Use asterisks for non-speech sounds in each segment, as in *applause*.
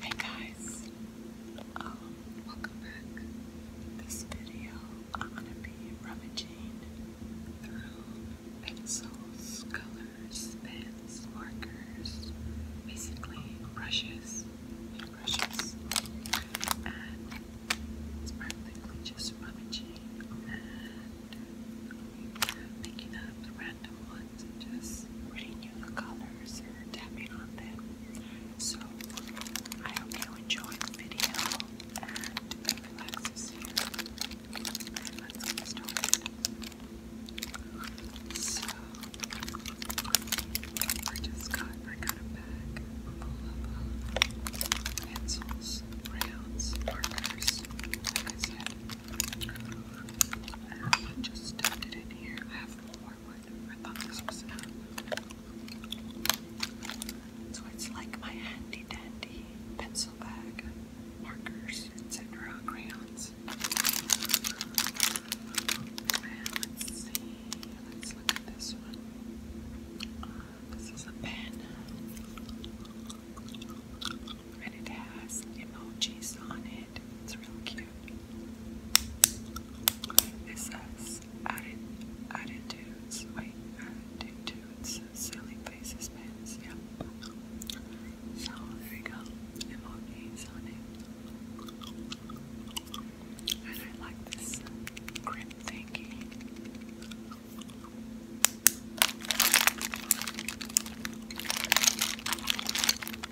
Hey guys, um, welcome back. This video, I'm gonna be rummaging through pencils, colors, pens, markers, basically brushes, brushes, and it's practically just rummaging and making up the random ones and just reading you the colors or tapping on them. So I hope you enjoyed the video and it relaxes let's get So I just got I got a bag of pencils, crayons, markers, like I said. I just stuffed it in here. I have more wood. I thought this was So it's like my handy dandy pencil bag, markers, etc., crayons. let's see. Let's look at this one. this is a pen, and it has emojis on it. It's really cute. It says added attitudes. Silly faces pins. So there you go. Emojis on it. And I like this grim thingy. This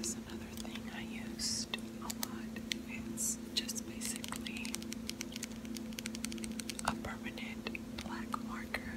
is another thing I used a lot. It's just basically a permanent black marker.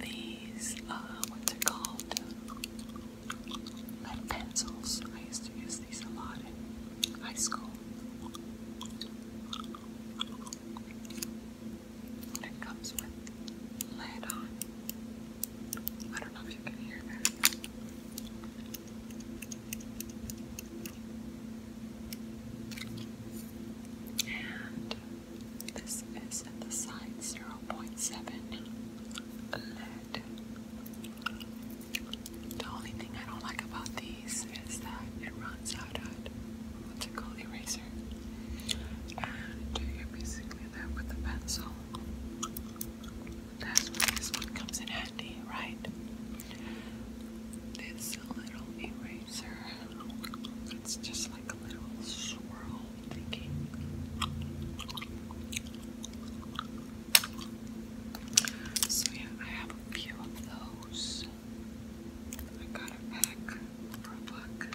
these, uh, what's it called? Like pencils. I used to use these a lot in high school. it comes with lead on. I don't know if you can hear that. And this is at the side 0.7 lead. The only thing I don't like about these is that it runs out at what's it called eraser. And you're basically left with a pencil. That's where this one comes in handy, right? this little eraser. It's just like a little swirl thingy. So yeah, I have a few of those. I got a pack for a buck,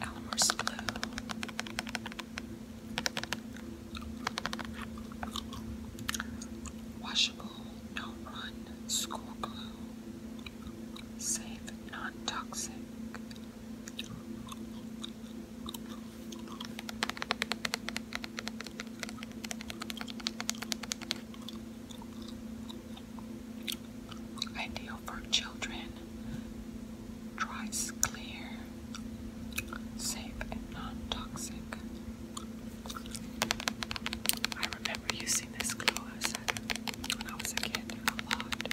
Alamer's blue. Washable, no run, school glue. Safe, non toxic. Ideal for children. Dries clear. Safe and non-toxic. I remember using this glue when I was a kid a lot.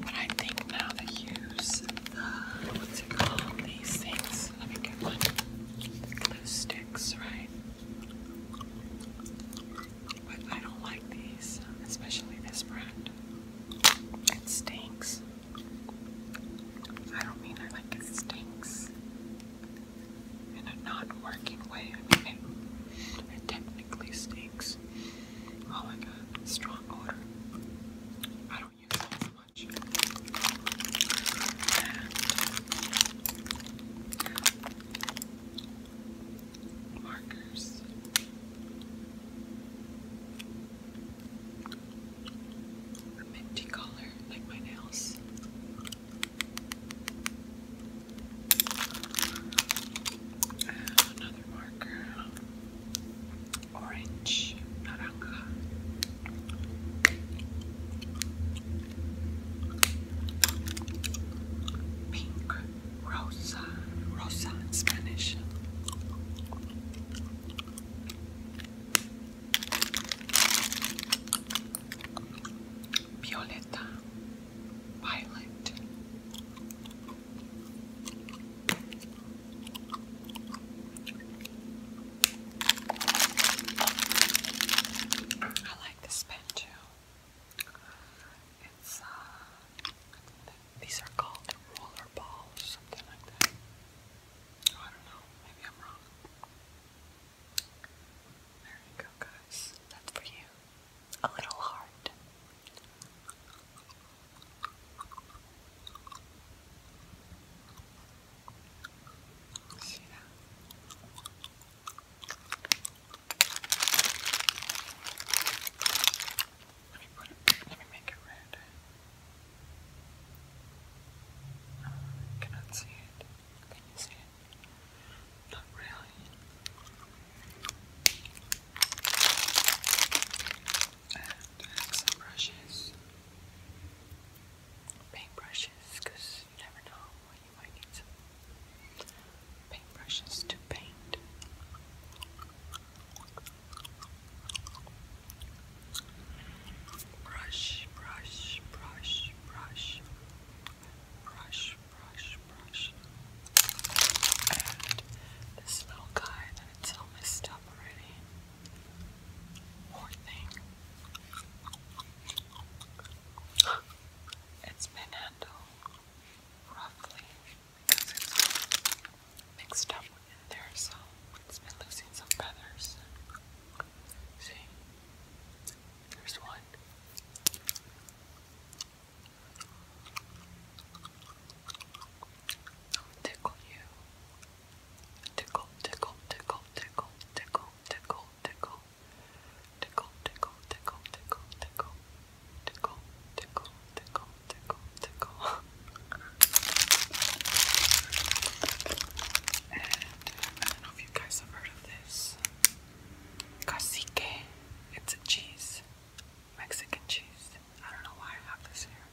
But I think now they use what's it called, these things, let me get one, glue sticks, right? But I don't like these, especially this brand. It stinks. I don't mean I like it stinks in a not working way. it, technically stinks. Oh my god, strong odor. I don't use it as much markers. A color, like my nails. another marker, orange, naranja. Pink rosa, rosa in Spanish. Violeta, violet. I like this pen too. It's uh, these are called roller balls, something like that. Oh, I don't know. Maybe I'm wrong. There you go, guys. That's for you. A little heart. Let me put it. Let me make it red. cannot see it. Can you see it? Not really. And I brushes, paint because because you never know when you might need some paintbrushes to paint. Brush, brush, brush, brush, brush, brush, brush. And this little guy that it's all messed up already. Poor thing. It's been handled roughly because it's mixed up in there, so it's been losing some feathers. See? There's one. i tickle you. Tickle, tickle, tickle, tickle, tickle tickle, tickle, tickle, tickle, tickle, tickle, tickle, tickle, tickle, tickle, tickle, *laughs* And I don't know if you guys have heard of this. Cacique. It's a cheese. Mexican cheese. I don't know why I have this here.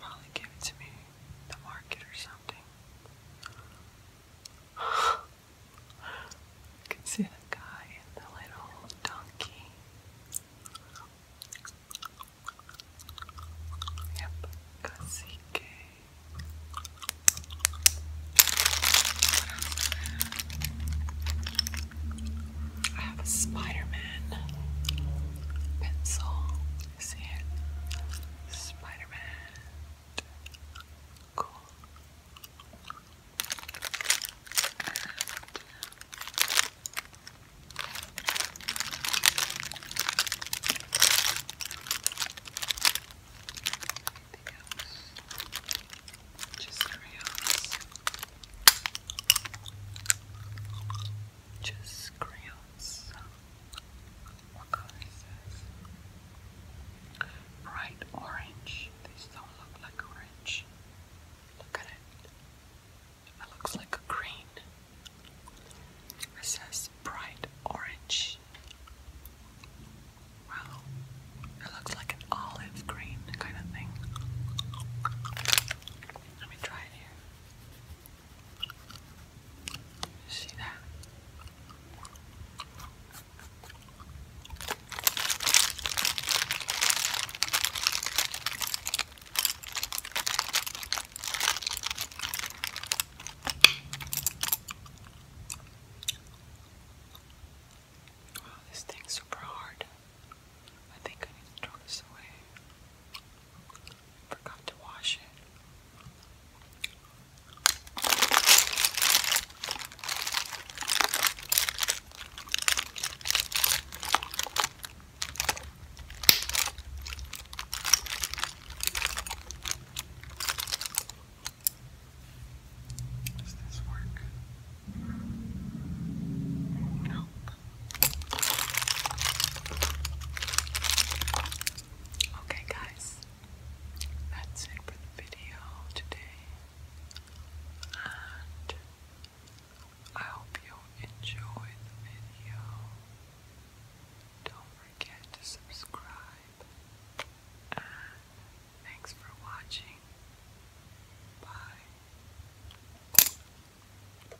Molly gave it to me, the market or something you can see the guy and the little donkey. Yep, cacique. I have a Spider Man pencil Sand, Spider-Man, cool. Just crayons. Just crayons. Bright orange. These don't look like orange. Look at it. It looks like a green. It says bright orange. Wow. It looks like an olive green kind of thing. Let me try it here. See that? Wow, this thing's super hard. I think I need to throw this away forgot to wash it. Does this work? Nope. Okay, guys, that's it for the video today, and I hope you enjoyed the video. Don't forget to subscribe, and thanks for watching. Bye.